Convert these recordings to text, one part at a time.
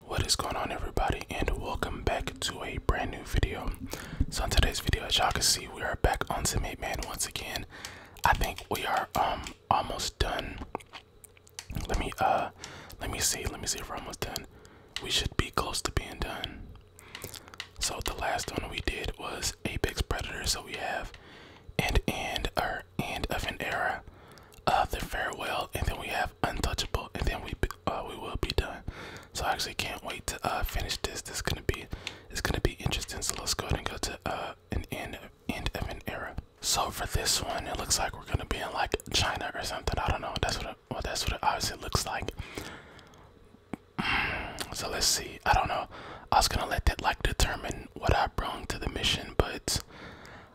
What is going on everybody and welcome back to a brand new video. So in today's video as y'all can see we are back on some Man once again. I think we are um almost done. Let me uh let me see, let me see if we're almost done. We should be close to being done. So the last one we did was Apex Predator, so we have an end or end of an era uh, the farewell, and then we have untouchable, and then we uh, we will be done. So I actually can't wait to uh, finish this. This gonna be it's gonna be interesting. So let's go and go to uh, an end end of an era. So for this one, it looks like we're gonna be in like China or something. I don't know. That's what it, well, that's what it looks like. Mm, so let's see. I don't know. I was gonna let that like determine what I brought to the mission, but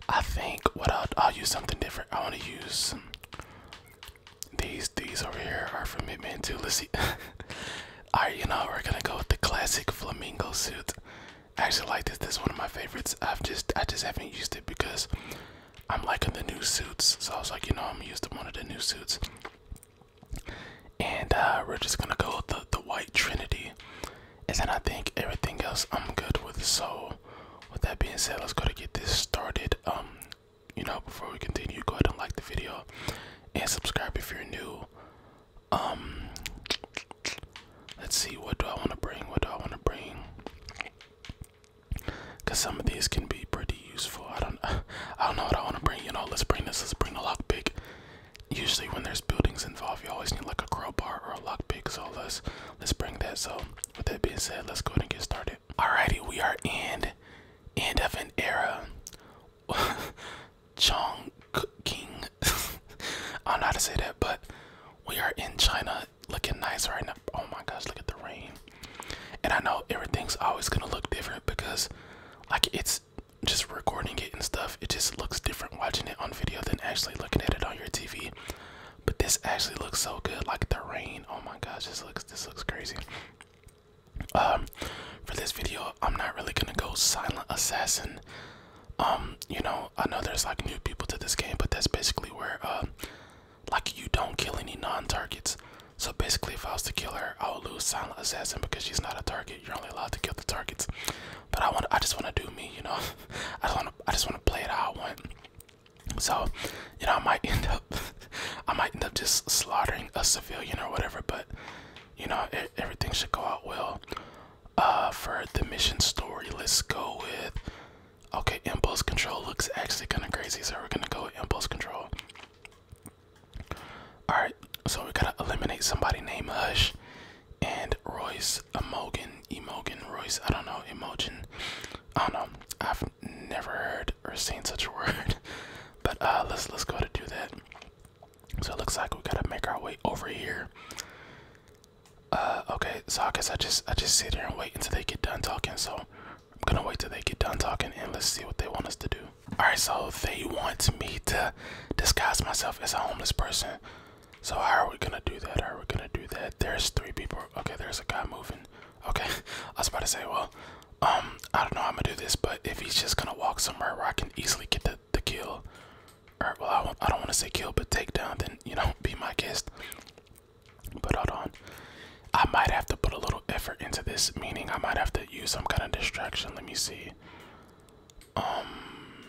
I think what I'll, use something different. I want to use these. These over here are from Hitman 2. Let's see. All right, you know we're gonna go with the classic flamingo suit. I actually like this. This is one of my favorites. I've just I just haven't used it because I'm liking the new suits. So I was like, you know, I'm using one of the new suits. And uh, we're just gonna go with the the white Trinity. And then I think everything else I'm good with. So with that being said let's go to get this started um you know before we continue go ahead and like the video and subscribe if you're new um let's see what do i want to bring what do i want to bring because some of these can be pretty useful i don't i don't know what i want to bring you know let's bring this let's bring the lockpick usually when there's buildings involved you always need like a crowbar or a lockpick so let's let's bring that so with that being said, let's go ahead and get started. Alrighty, we are in end of an era. Chongqing. King. I don't to say that, but we are in China looking nice right now. Oh my gosh, look at the rain. And I know everything's always gonna look different because like it's just recording it and stuff. It just looks different watching it on video than actually looking at it on your TV. But this actually looks so good, like the rain. Oh my gosh, this looks this looks crazy. Um, for this video, I'm not really gonna go silent assassin. Um, you know, I know there's like new people to this game, but that's basically where uh, like you don't kill any non-targets. So basically, if I was to kill her, I would lose silent assassin because she's not a target. You're only allowed to kill the targets but I want I just want to do me, you know. I just want to I just want to play it how I want. So, you know, I might end up I might end up just slaughtering a civilian or whatever, but you know, everything should go out well. Uh, for the mission story, let's go with okay. Impulse control looks actually kind of crazy, so we're gonna go impulse control. All right, so we gotta eliminate somebody named Hush, and Royce Emogen, Emogen, Royce, I don't know, Emogen, I don't know, I've never heard or seen such a word, but uh, let's let's go to do that. So it looks like we gotta make our way over here. Uh, okay, so I guess I just I just sit here and wait until they get done talking. So I'm gonna wait till they get done talking and let's see what they want us to do. All right, so they want me to disguise myself as a homeless person. So how are we gonna do that? How are we gonna do that? There's three people. Okay, there's a guy moving. Okay, I was about to say, well, um, I don't know how I'm gonna do this, but if he's just gonna walk somewhere where I can easily get the, the kill, All right, well, I, I don't want to say kill, but take down, then you know, be my guest. But hold on, I might have to put a little effort into this, meaning I might have to use some kind of distraction. Let me see. Um,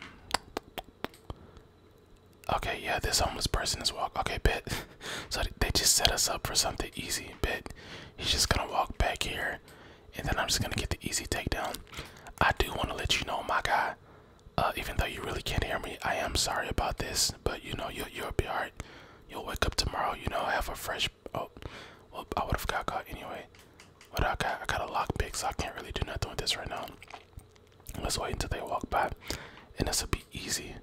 Okay, yeah, this homeless person is walk. Okay, bit. so they just set us up for something easy. Bit. he's just gonna walk back here, and then I'm just gonna get the easy takedown. I do want to let you know, my guy. Uh, even though you really can't hear me, I am sorry about this. But you know, you'll you'll be alright. You'll wake up tomorrow. You know, have a fresh. Oh, well, I would have got caught anyway. What I got? I got a lockpick, so I can't really do nothing with this right now. Let's wait until they walk by, and this will be easy.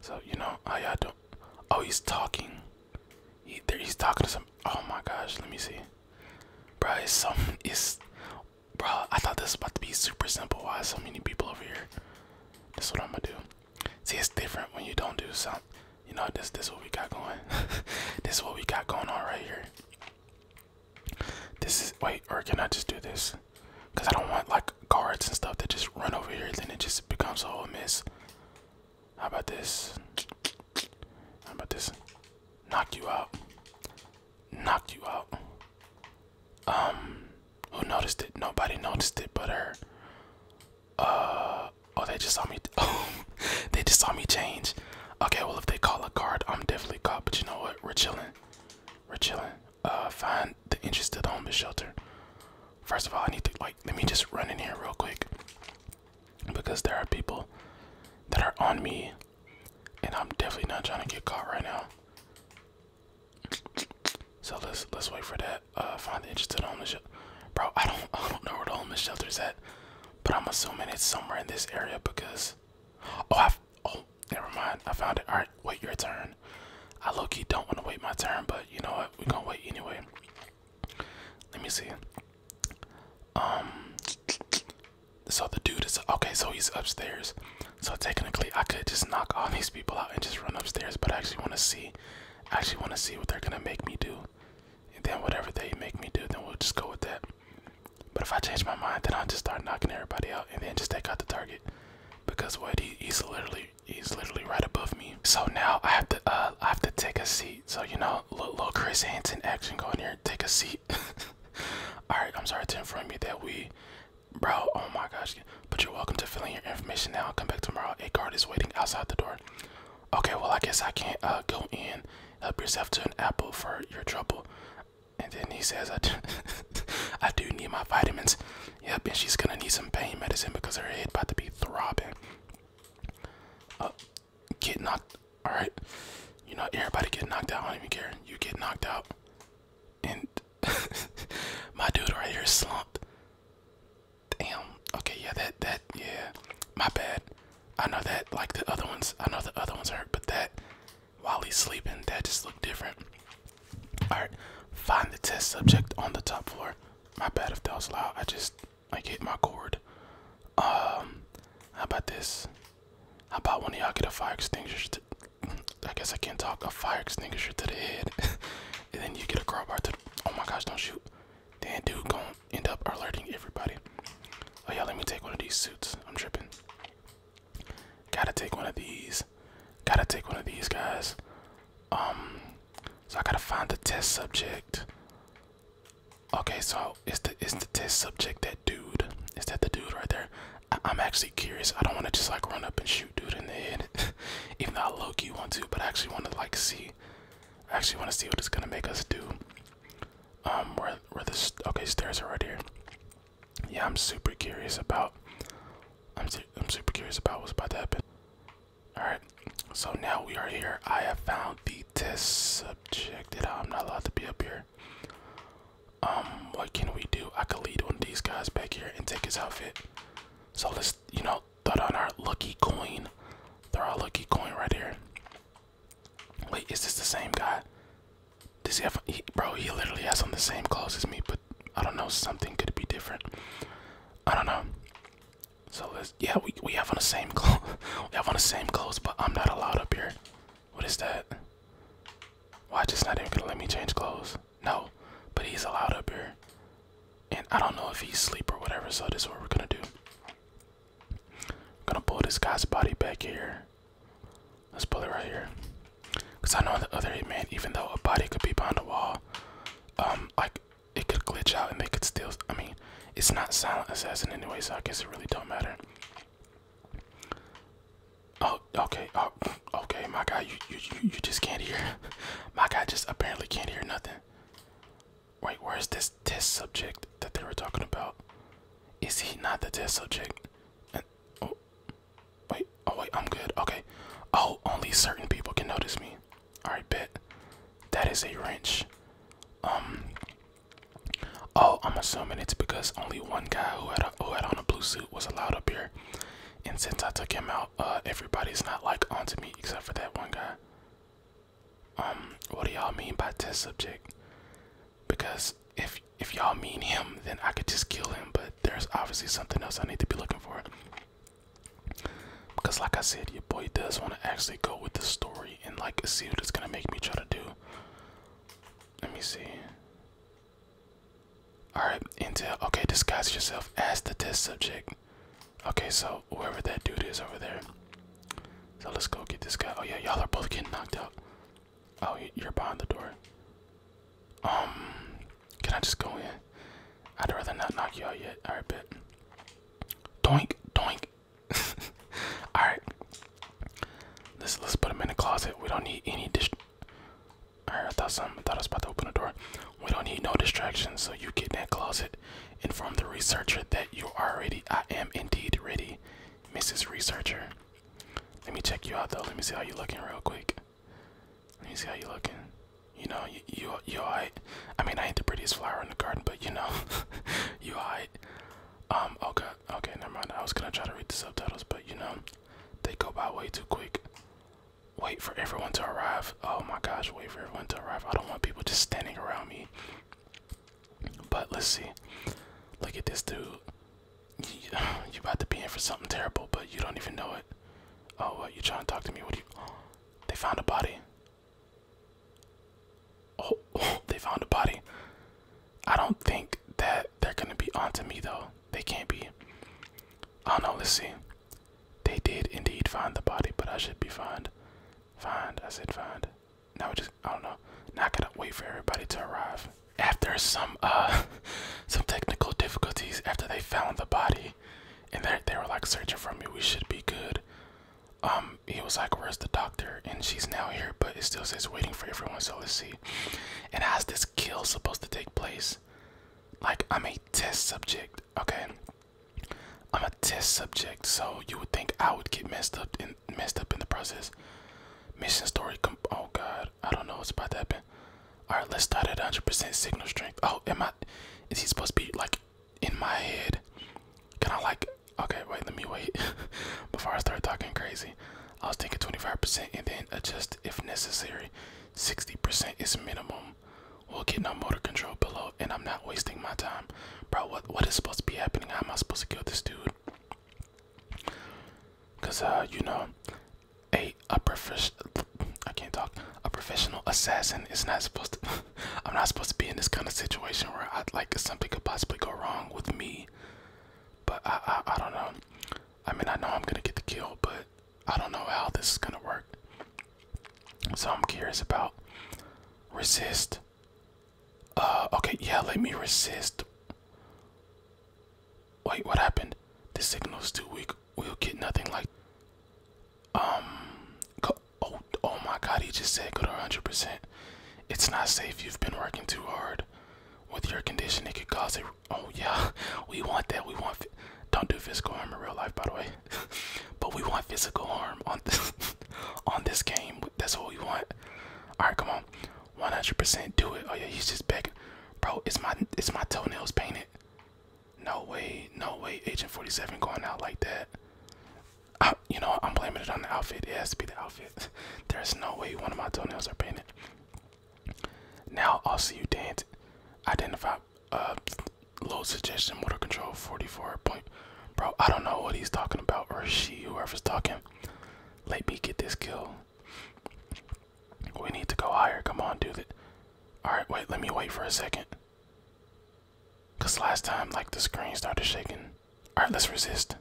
So you know, oh yeah, I don't. Oh, he's talking. He, there, he's talking to some. Oh my gosh, let me see. Bro, it's some. It's, bro, I thought this was about to be super simple. Why so many people over here? That's what I'm gonna do. See, it's different when you don't do something. You know, this this what we got going. this is what we got going on right here. This is wait, or can I just do this? Cause I don't want like cards and stuff that just run over here, then it just becomes a whole mess. How about this? How about this? Knock you out. Knock you out. Um, who noticed it? Nobody noticed it but her. Uh, oh, they just saw me. Oh, they just saw me change. Okay, well, if they call a card, I'm definitely caught, but you know what? We're chilling. We're chilling. Uh, find the interested homeless shelter. First of all, I need to like let me just run in here real quick because there are people that are on me, and I'm definitely not trying to get caught right now. So let's let's wait for that. Uh, find the interested homeless shelter. Bro, I don't I don't know where the homeless shelter is at, but I'm assuming it's somewhere in this area because Oh, I've, oh, never mind. I found it. All right, wait your turn. I low key don't want to wait my turn, but you know what? We're gonna wait anyway. Let me see. Um, so the dude is okay. So he's upstairs. So technically, I could just knock all these people out and just run upstairs. But I actually want to see. I actually want to see what they're gonna make me do. And then whatever they make me do, then we'll just go with that. But if I change my mind, then I'll just start knocking everybody out and then just take out the target. Because what he's literally he's literally right above me. So now I have to uh, I have to take a seat. So you know, little, little Chris Hansen action going here, take a seat. Alright, I'm sorry to inform you that we bro, oh my gosh. But you're welcome to fill in your information now. Come back tomorrow. A guard is waiting outside the door. Okay, well I guess I can't uh, go in. Help yourself to an apple for your trouble. And then he says, I do, I do need my vitamins. Yep, and she's gonna need some pain medicine because her head about to be throbbing. Uh, get knocked. Alright. You know, everybody get knocked out. I don't even care. You get knocked out. And my dude right here slumped. Damn. Okay, yeah, that, that, yeah. My bad. I know that, like the other ones, I know the other ones hurt, but that, while he's sleeping. That just looked different. Alright, find the test subject on the top floor. My bad if that was loud. I just I hit my cord. Um, how about this? How about one of y'all get a fire extinguisher? I guess I can't talk. A fire extinguisher to the head, and then you get a crowbar to. The, oh my gosh! Don't shoot. Damn dude, gonna end up alerting everybody. Oh yeah, let me take one of these suits. I'm tripping. Gotta take one of these. Gotta take one of these guys. Um, so I gotta find the test subject. Okay, so it's the is the test subject that dude? Is that the dude right there? I, am actually curious. I don't want to just like run up and shoot dude in the head, even though I low want to. But I actually want to like see. I actually want to see what it's gonna make us do. Um, where where this okay stairs are right here. Yeah, I'm super curious about. I'm I'm super curious about what's about to happen. All right, so now we are here. I have found the test subject. I'm not allowed to be up here. Um, what can we do? I can lead one of these guys back here and take his outfit. So let's you know throw down our lucky coin. Throw our lucky coin right here. Wait, is this the same guy? Does he have, bro? He literally has on the same clothes as me, but I don't know. Something could be different. I don't know. So yeah, we we have on the same clothes. we have on the same clothes, but I'm not allowed up here. What is that? Why just not even gonna let me change clothes? No, but he's allowed up here, and I don't know if he's asleep or whatever. So this is what we're gonna do. We're gonna pull this guy's body back here. Let's pull it right here. Cause I know the other man. even though a body could be behind the wall, um, like it could glitch out and they could still. I mean, it's not silent assassin anyway, so I guess it really don't matter. Oh, okay. Oh, okay. My guy, you you you, you just can't hear. My guy just apparently can't hear nothing. Wait, where's this? test subject that they were talking about. Is he not the test subject? oh, wait. Oh, wait. I'm good. Okay. Oh, only certain people can notice me. All right, bet. That is a wrench. Um. Oh, I'm assuming it's because only one guy who had a, who had on a blue suit was allowed up here, and since I took him out, uh, everybody's not like onto me except for that one guy um what do y'all mean by test subject because if if y'all mean him then i could just kill him but there's obviously something else i need to be looking for because like i said your boy does want to actually go with the story and like see what it's gonna make me try to do let me see all right intel okay disguise yourself as the test subject okay so whoever that dude is over there so let's go get this guy. Oh yeah, y'all are both getting knocked out. Oh, you're behind the door. Um, can I just go in? I'd rather not knock you out yet. All right, bet. Doink, doink. All right. Let's let's put him in the closet. We don't need any dis. All right, I thought some. I thought I was about to open the door. We don't need no distractions. So you get in that closet. Inform the researcher that you are ready. I am indeed ready. Mrs. Researcher. Let me check you out though. Let me see how you are looking real quick. Let me see how you are looking. You know, you you, you I mean, I ain't the prettiest flower in the garden, but you know, you hide. Um. Okay. Okay. Never mind. I was gonna try to read the subtitles, but you know, they go by way too quick. Wait for everyone to arrive. Oh my gosh. Wait for everyone to arrive. I don't want people just standing around me. But let's see. Look at this dude. You, you about to be in for something terrible, but you don't even know it. Oh, what? You trying to talk to me? What do you? they found a body. Oh, they found a body. I don't think that they're gonna be onto me though. They can't be. Oh no. Let's see. They did indeed find the body, but I should be fined. Find. I said found now we just I don't know. Now I gotta wait for everybody to arrive. After some uh some technical difficulties, after they found the body and they they were like searching for me, we should be good. Um, he was like, Where's the doctor? And she's now here, but it still says waiting for everyone, so let's see. And how's this kill supposed to take place? Like, I'm a test subject, okay? I'm a test subject, so you would think I would get messed up in messed up in the process. Mission story. oh God, I don't know what's about to happen. All right, let's start at 100% signal strength. Oh, am I? Is he supposed to be like in my head? Can I like? Okay, wait. Let me wait before I start talking crazy. I was thinking 25% and then adjust if necessary. 60% is minimum. We'll get no motor control below and I'm not wasting my time. Bro, what what is supposed to be happening? How am I supposed to kill this dude? Cause uh, you know, a a prof I can't talk. A professional assassin is not supposed to I'm not supposed to be in this kind of situation where I like something could possibly go wrong with me. But I, I I don't know. I mean I know I'm gonna get the kill, but I don't know how this is gonna work. So I'm curious about resist uh, okay, yeah, let me resist. Wait, what happened? The signal's too weak. We'll get nothing like. Um. Oh, oh my god, he just said go to 100%. It's not safe. You've been working too hard. With your condition, it could cause it. Oh, yeah. We want that. We want. Don't do physical harm in real life, by the way. but we want physical harm on this on this game. That's what we want. All right, come on, 100% do it. Oh yeah, he's just begging, bro. It's my it's my toenails painted. No way, no way. Agent 47 going out like that. you know, I'm blaming it on the outfit. It has to be the outfit. There's no way one of my toenails are painted. Now I'll see you dance. Identify. Uh, low suggestion motor control 44.1 Bro, I don't know what he's talking about or she, whoever's talking. Let me get this kill. We need to go higher. Come on, do it. Alright, wait, let me wait for a second. Cause last time like the screen started shaking. Alright, let's resist.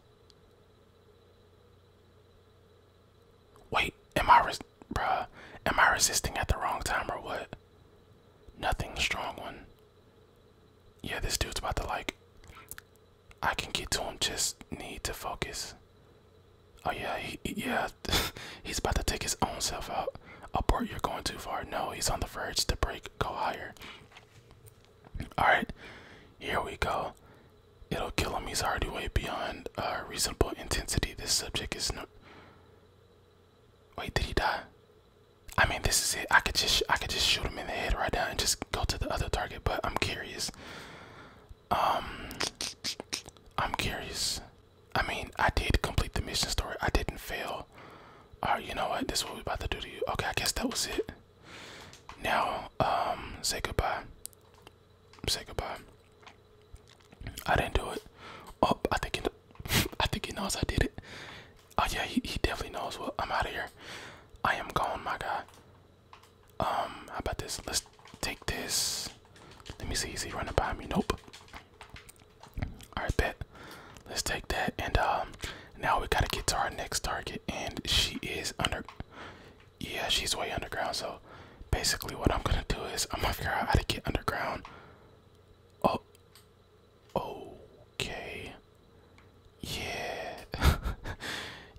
Wait, am I res am I resisting at the wrong time or what? Nothing strong one. Yeah, this dude's about to like. I can get to him. Just need to focus. Oh yeah, yeah. he's about to take his own self out. Abort. You're going too far. No, he's on the verge to break. Go higher. All right, here we go. It'll kill him. He's already way beyond uh, reasonable intensity. This subject is no. Wait, did he die? I mean, this is it. I could just I could just shoot him in the head right now and just go to the other target. But I'm curious. Um, I'm curious. I mean, I did complete the mission story. I didn't fail. All right, you know what? This is what we about to do to you. Okay, I guess that was it. Now, um, say goodbye. Say goodbye. I didn't do it. Oh, I think you did. I think he knows I did it. Oh yeah, he, he definitely knows. Well, I'm out of here. I am gone, my guy. Um, how about this? Let's take this. Let me see. Is he running by me? Nope. All right, bet. Let's take that. And um, now we gotta get to our next target, and she is under. Yeah, she's way underground. So basically, what I'm gonna do is I'm gonna figure out how to get underground. Oh, Okay. Yeah.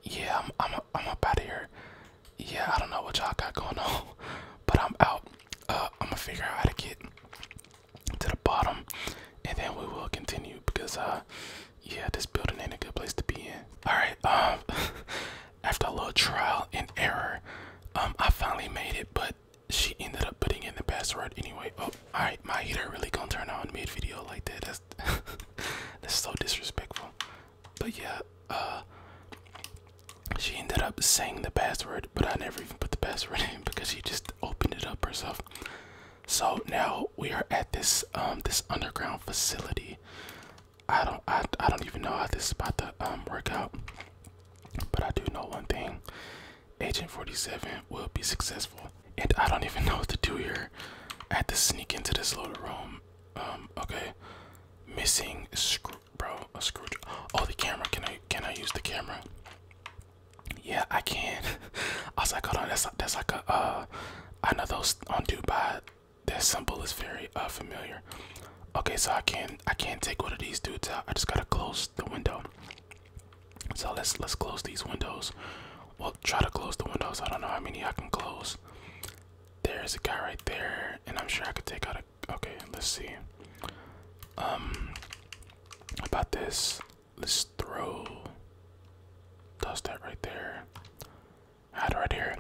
yeah, I'm I'm I'm up out of here. Yeah, I don't know what y'all got going on, but I'm out. Uh, I'm gonna figure out how to get to the bottom, and then we will continue because uh, yeah, this building ain't a good place to be in. All right. Um, after a little trial and error, um, I finally made it, but she ended up putting in the password anyway. Oh, alright, my heater really gonna turn on mid video like that. That's that's so disrespectful. But yeah, uh she ended up saying the password, but I never even put the password in because she just opened it up herself. So now we are at this um this underground facility. I don't I I don't even know how this is about to um work out. But I do know one thing. Agent 47 will be successful. And I don't even know what to do here. I had to sneak into this little room. Um, okay. Missing screw, bro. A screw. Oh, the camera. Can I can I use the camera? Yeah, I can. I was like, hold on. That's that's like a uh. I know those on Dubai. That symbol is very uh familiar. Okay, so I can not I can't take one of these dudes out. I just gotta close the window. So let's let's close these windows. We'll try to close the windows. I don't know how many I can close. There's a guy right there, and I'm sure I could take out a. Okay, let's see. Um, about this, let's throw. Does that right there? Hide right here.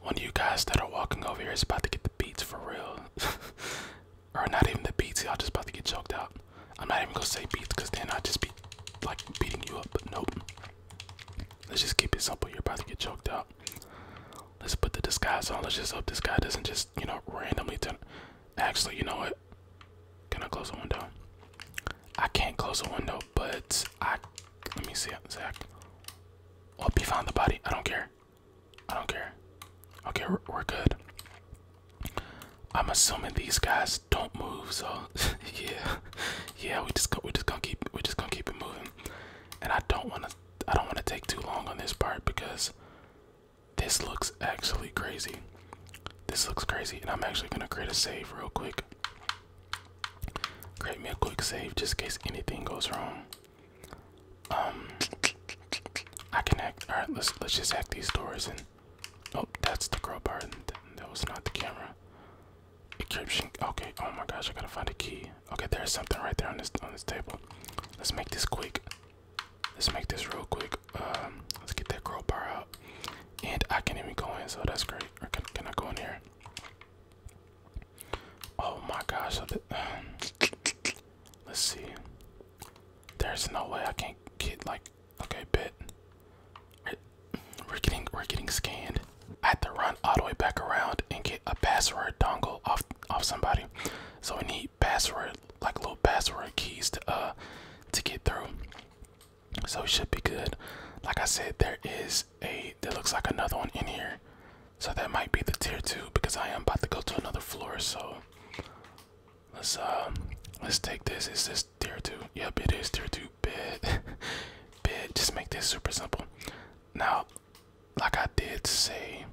One of you guys that are walking over here is about to get the beats for real. or not even the beats. Y'all just about to get choked out. I'm not even gonna say beats because then I just be like beating you up. But nope. Let's just keep it simple. You're about to get choked out. Let's put the disguise on. Let's just hope this guy doesn't just you know randomly turn. Actually, you know what? Can I close the window? I can't close the window, but I let me see. Zach. Hope he found the body, I don't care. I don't care. Okay, we're, good. I'm assuming these guys don't move, so yeah, yeah. We just go, we just gonna keep we just gonna keep it moving, and I don't wanna I don't wanna take too long on this part because this looks actually crazy. This looks crazy, and I'm actually gonna create a save real quick. Create me a quick save just in case anything goes wrong. Um, I can act. All right, let's let's just hack these doors and. Oh, that's the crowbar. That was not the camera. Encryption. Okay. Oh my gosh, I gotta find a key. Okay, there's something right there on this on this table. Let's make this quick. Let's make this real quick. Um, let's get that crowbar out. And I can even go in, so that's great. Or can can I go in here? Oh my gosh! Let's see. There's no way I can't get like okay bit. We're getting we're getting scanned. I had to run all the way back around and get a password dongle off off somebody. So we need password like little password keys to uh to get through. So it should be good. Like I said, there is a there looks like another one in here. So that might be the tier two because I am about to go to another floor. So let's uh let's take this. Is this tier two? Yep, it is tier two. Bid, bid. Just make this super simple. Now, like I did say,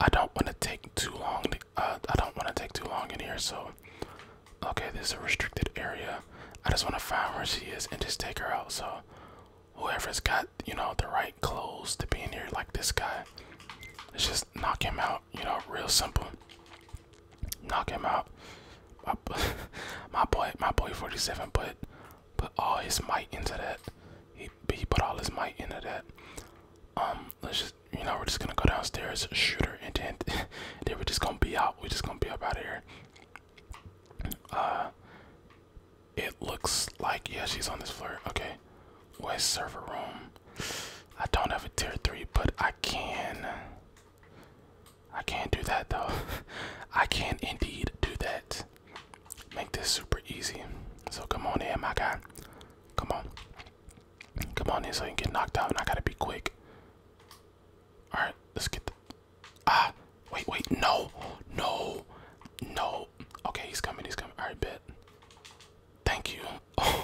I don't want to take too long. uh, I don't want to take too long in here. So okay, this is a restricted area. I just want to find where she is and just take her out. So whoever's got you know the right clothes to be in here like this guy let's just knock him out you know real simple knock him out my, boy my boy 47 put put all his might into that he, he put all his might into that um let's just you know we're just gonna go downstairs shoot her and then, then we're just gonna be out we're just gonna be up out of here uh, it looks like yeah, she's on this floor. Okay, West server room. I don't have a tier three, but I can. I can't do that though. I can indeed do that. Make this super easy. So come on in, my guy. Come on. Come on in so you can get knocked out and I gotta be quick. Alright, let's get the Ah, wait, wait, no, no, no, Oh, okay, he's coming. He's coming. All right, bet. Thank you.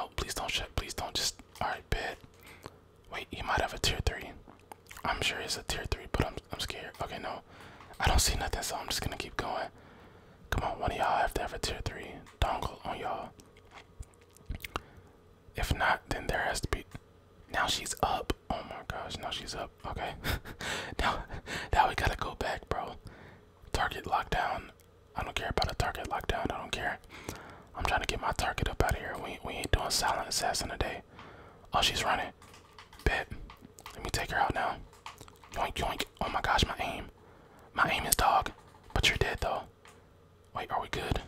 Oh, no, please don't shut. Please don't just. All right, bet. Wait, he might have a tier three. I'm sure he's a tier three, but I'm I'm scared. Okay, no, I don't see nothing, so I'm just gonna keep going. Come on, one of y'all have to have a tier three dongle on y'all. If not, then there has to be. Now she's up. Oh my gosh, now she's up. Okay. now now we gotta go back, bro. Target lockdown. I don't care about a target lockdown. I don't care. I'm trying to get my target up out of here. We we ain't doing silent assassin today. Oh, she's running. Bit. Let me take her out now. Yoink yoink. Oh my gosh, my aim. My aim is dog. But you're dead though. Wait, are we good?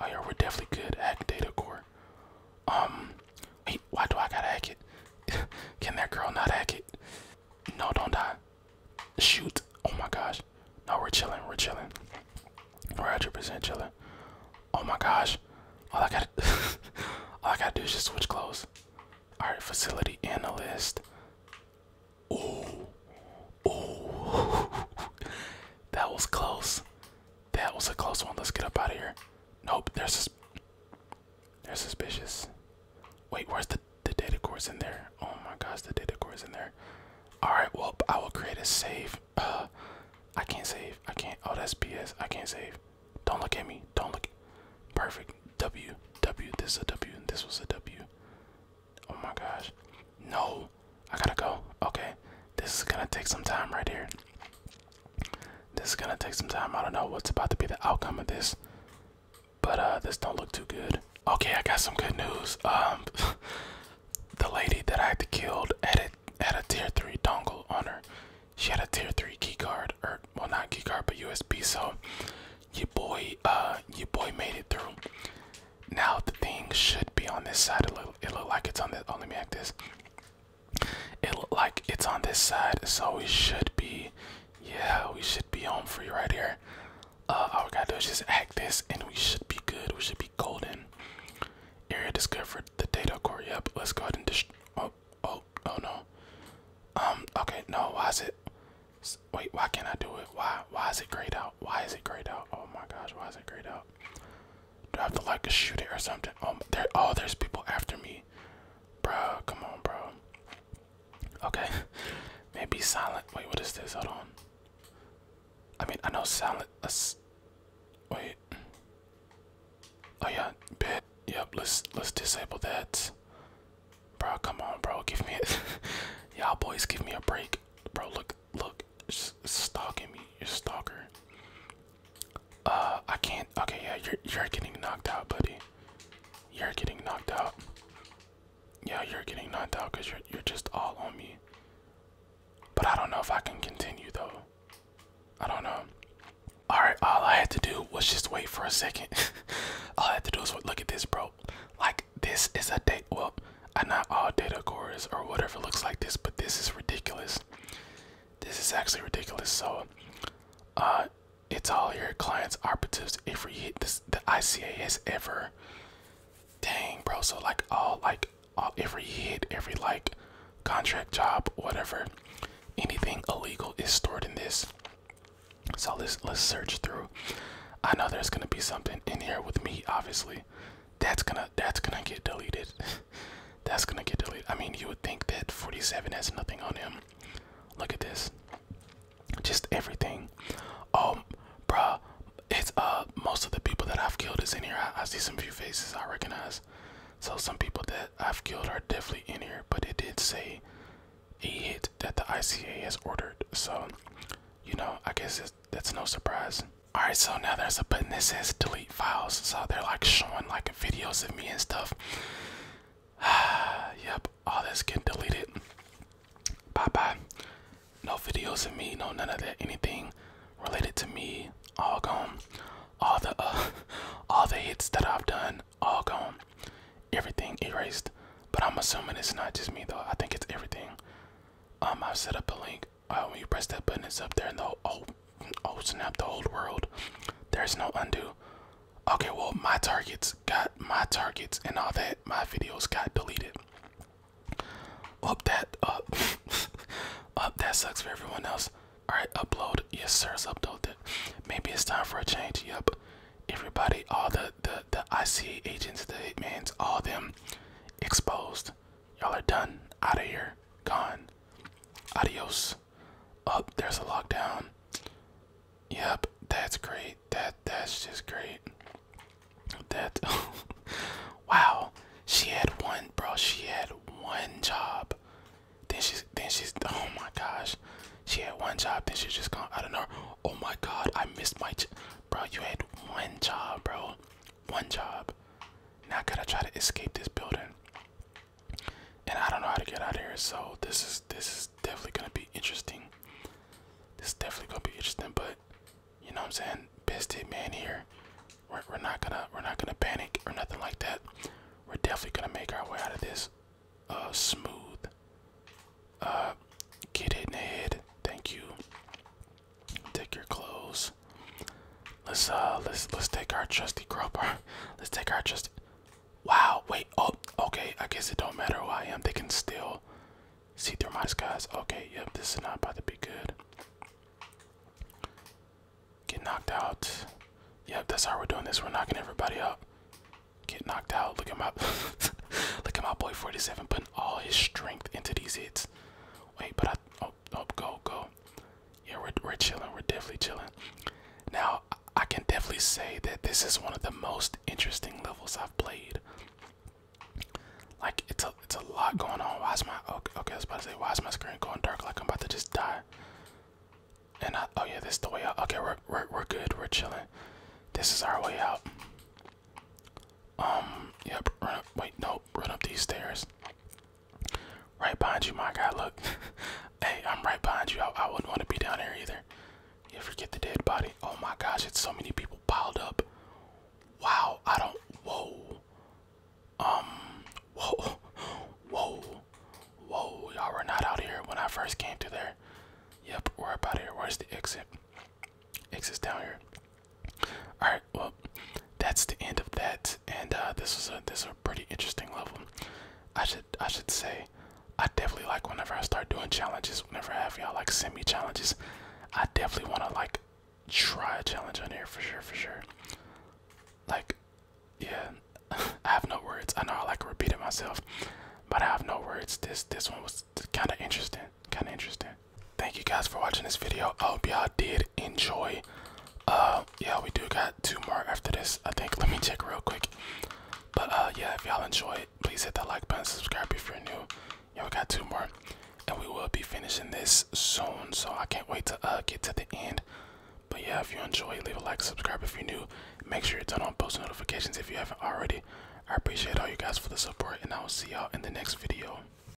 Oh yeah, we're definitely good. Hack data core. Um, wait, why do I gotta hack it? Can that girl not hack it? No, don't die. Shoot. Oh my gosh. No, we're chilling. We're chilling. 100% chilling. Oh my gosh. All I gotta, all I gotta do is just switch clothes. All right, facility analyst. Ooh, ooh, that was close. That was a close one. Let's get up out of here. Nope, they're, sus they're suspicious. Wait, where's the, the data cores in there? Oh my gosh, the data cores in there. Alright, well, I will create a save. Uh, I can't save. I can't. Oh, that's BS. I can't save. Don't look at me. Don't look. Perfect. W. W. This is a W. This was a W. Oh my gosh. No. I gotta go. Okay. This is gonna take some time right here. This is gonna take some time. I don't know what's about to be the outcome of this, but uh, this don't look too good. Okay, I got some good news. Um, the lady that I had to kill had a, had a tier three dongle on her. She had a tier three key card, or well, not key card, but USB. So your boy, uh, your boy made it through. Now the thing should be on this side. A little, it look like it's on the. Oh, let me act this. It like it's on this side, so we should be, yeah, we should be home free right here. Uh, all we gotta do is just act this, and we should be good. We should be golden. Area discovered the data core. Yep, let's go ahead and just. Oh, oh, oh no. Um. Okay. No. Why is it? Wait. Why can't I do it? Why? Why is it grayed out? Why is it grayed out? Oh my gosh. Why is it grayed out? Do I have to like shoot it or something? Oh, there. Oh, there's people after me, bro. Come on, bro. Okay, maybe silent. Wait, what is this? Hold on. I mean, I know silent. us wait. Oh yeah, Yep. Let's let's disable that, bro. Come on, bro. Give me it. Y'all boys, give me a break, bro. Look, look. Just stalking me, you stalker. Uh, I can't. Okay, yeah, you're you're getting knocked out, buddy. You're getting knocked out. Yeah, you're getting knocked out because you're you're just all on me. But I don't know if I can continue though. I don't know. All right, all I had to do was just wait for a second. all I had to do was look at this, bro. Like this is a date. Well, I uh, am not all data cores or whatever looks like this, but this is ridiculous. This is actually ridiculous. So, uh, it's all your clients' operatives every hit this the ICA has ever. Dang, bro. So like all like all every hit, every like contract job, whatever, anything illegal is stored in this. So let's let's search through. I know there's gonna be something in here with me, obviously. That's gonna that's gonna get deleted. that's gonna get deleted. I mean, you would think that 47 has nothing on him. Look at this. Just everything. Oh, bruh. It's uh most of the people that I've killed is in here. I, I see some few faces I recognize. So some people that I've killed are definitely in here. But it did say a hit that the ICA has ordered. So you know, I guess that's no surprise. Alright, so now there's a button that says delete files. So they're like showing like videos of me and stuff. yep, all this can delete Bye bye. No videos of me, no none of that. Anything related to me, all gone. All the uh, all the hits that I've done, all gone. Everything erased. But I'm assuming it's not just me though. I think it's everything. Um, I've set up a link uh, when you press that button, it's up there in the oh oh snap the old world. There's no undo. Okay, well my targets got my targets and all that. My videos got deleted. Up that up up that sucks for everyone else. All right, upload. Yes, sir, uploaded. Maybe it's time for a change. Yep. Everybody, all the the the IC agents, the hitmans, all them exposed. Y'all are done. Out of here. Gone. Adios. oh, there's a lockdown. Yep, that's great. That that's just great. That wow. She had one bro, she had one job. Then she's then she's oh my gosh. She had one job, then she's just gone. I don't know. Oh my god, I missed my bro, you had one job, bro one job. Now I gotta try to escape this building. And I don't know how to get out of here, so this is this is definitely gonna be interesting. This is definitely gonna be interesting, but you know what I'm saying? Best hit man here. We're we're not gonna we're not gonna panic or nothing like that. We're definitely gonna make our way out of this uh smooth. Uh get it in the head. Thank you. Take your clothes. Let's uh let's let's take our trusty crowbar. Let's take our trusty Wow, wait, oh okay, I guess it don't matter who I am, they can still see through my disguise. Okay, yep, this is not about to be good. Get knocked out. Yep, that's how we're doing this. We're knocking everybody out. Get knocked out. Look at my look at my boy 47 putting all his strength into these hits. Wait, but I oh up, go, go. Yeah, we're we're chilling. We're definitely chilling. Now I can definitely say that this is one of the most interesting levels I've played. Like it's a it's a lot going on. Why is my okay? okay I was about to say why is my screen going dark? Like I'm about to just die. And I, oh yeah, this is the way out. Okay, we're we're we're good. We're chilling. This is our way out. Um, yep. Run up, wait, no. Run up these stairs. Right behind you, my guy. Look, hey, I'm right behind you. I, wouldn't want to be down here either. You forget the dead body. Oh my gosh, it's so many people piled up. Wow, I don't. Whoa. Um. Whoa. Whoa. Whoa. Y'all were not out here when I first came to there. Yep, we're about here. Where's the exit? Exit's down here. All right, well, that's the end of that, and uh, this was a this was a pretty interesting level. I should I should say, I definitely like whenever I start doing challenges. Whenever I have y'all like send me challenges, I definitely want to like try a challenge on here for sure, for sure. Like, yeah, I have no words. I know I like repeating myself, but I have no words. This this one was kind of interesting, kind of interesting thank you guys for watching this video. I hope y'all did enjoy. Uh, yeah, we do got two more after this. I think. Let me check real quick. But uh, yeah, if y'all enjoyed, please hit that like button, subscribe if you're new. Yeah, we got two more, and we will be finishing this soon. So I can't wait to uh get to the end. But yeah, if you enjoyed, leave a like, subscribe if you're new. Make sure you turn on post notifications if you haven't already. I appreciate all you guys for the support, and I will see y'all in the next video.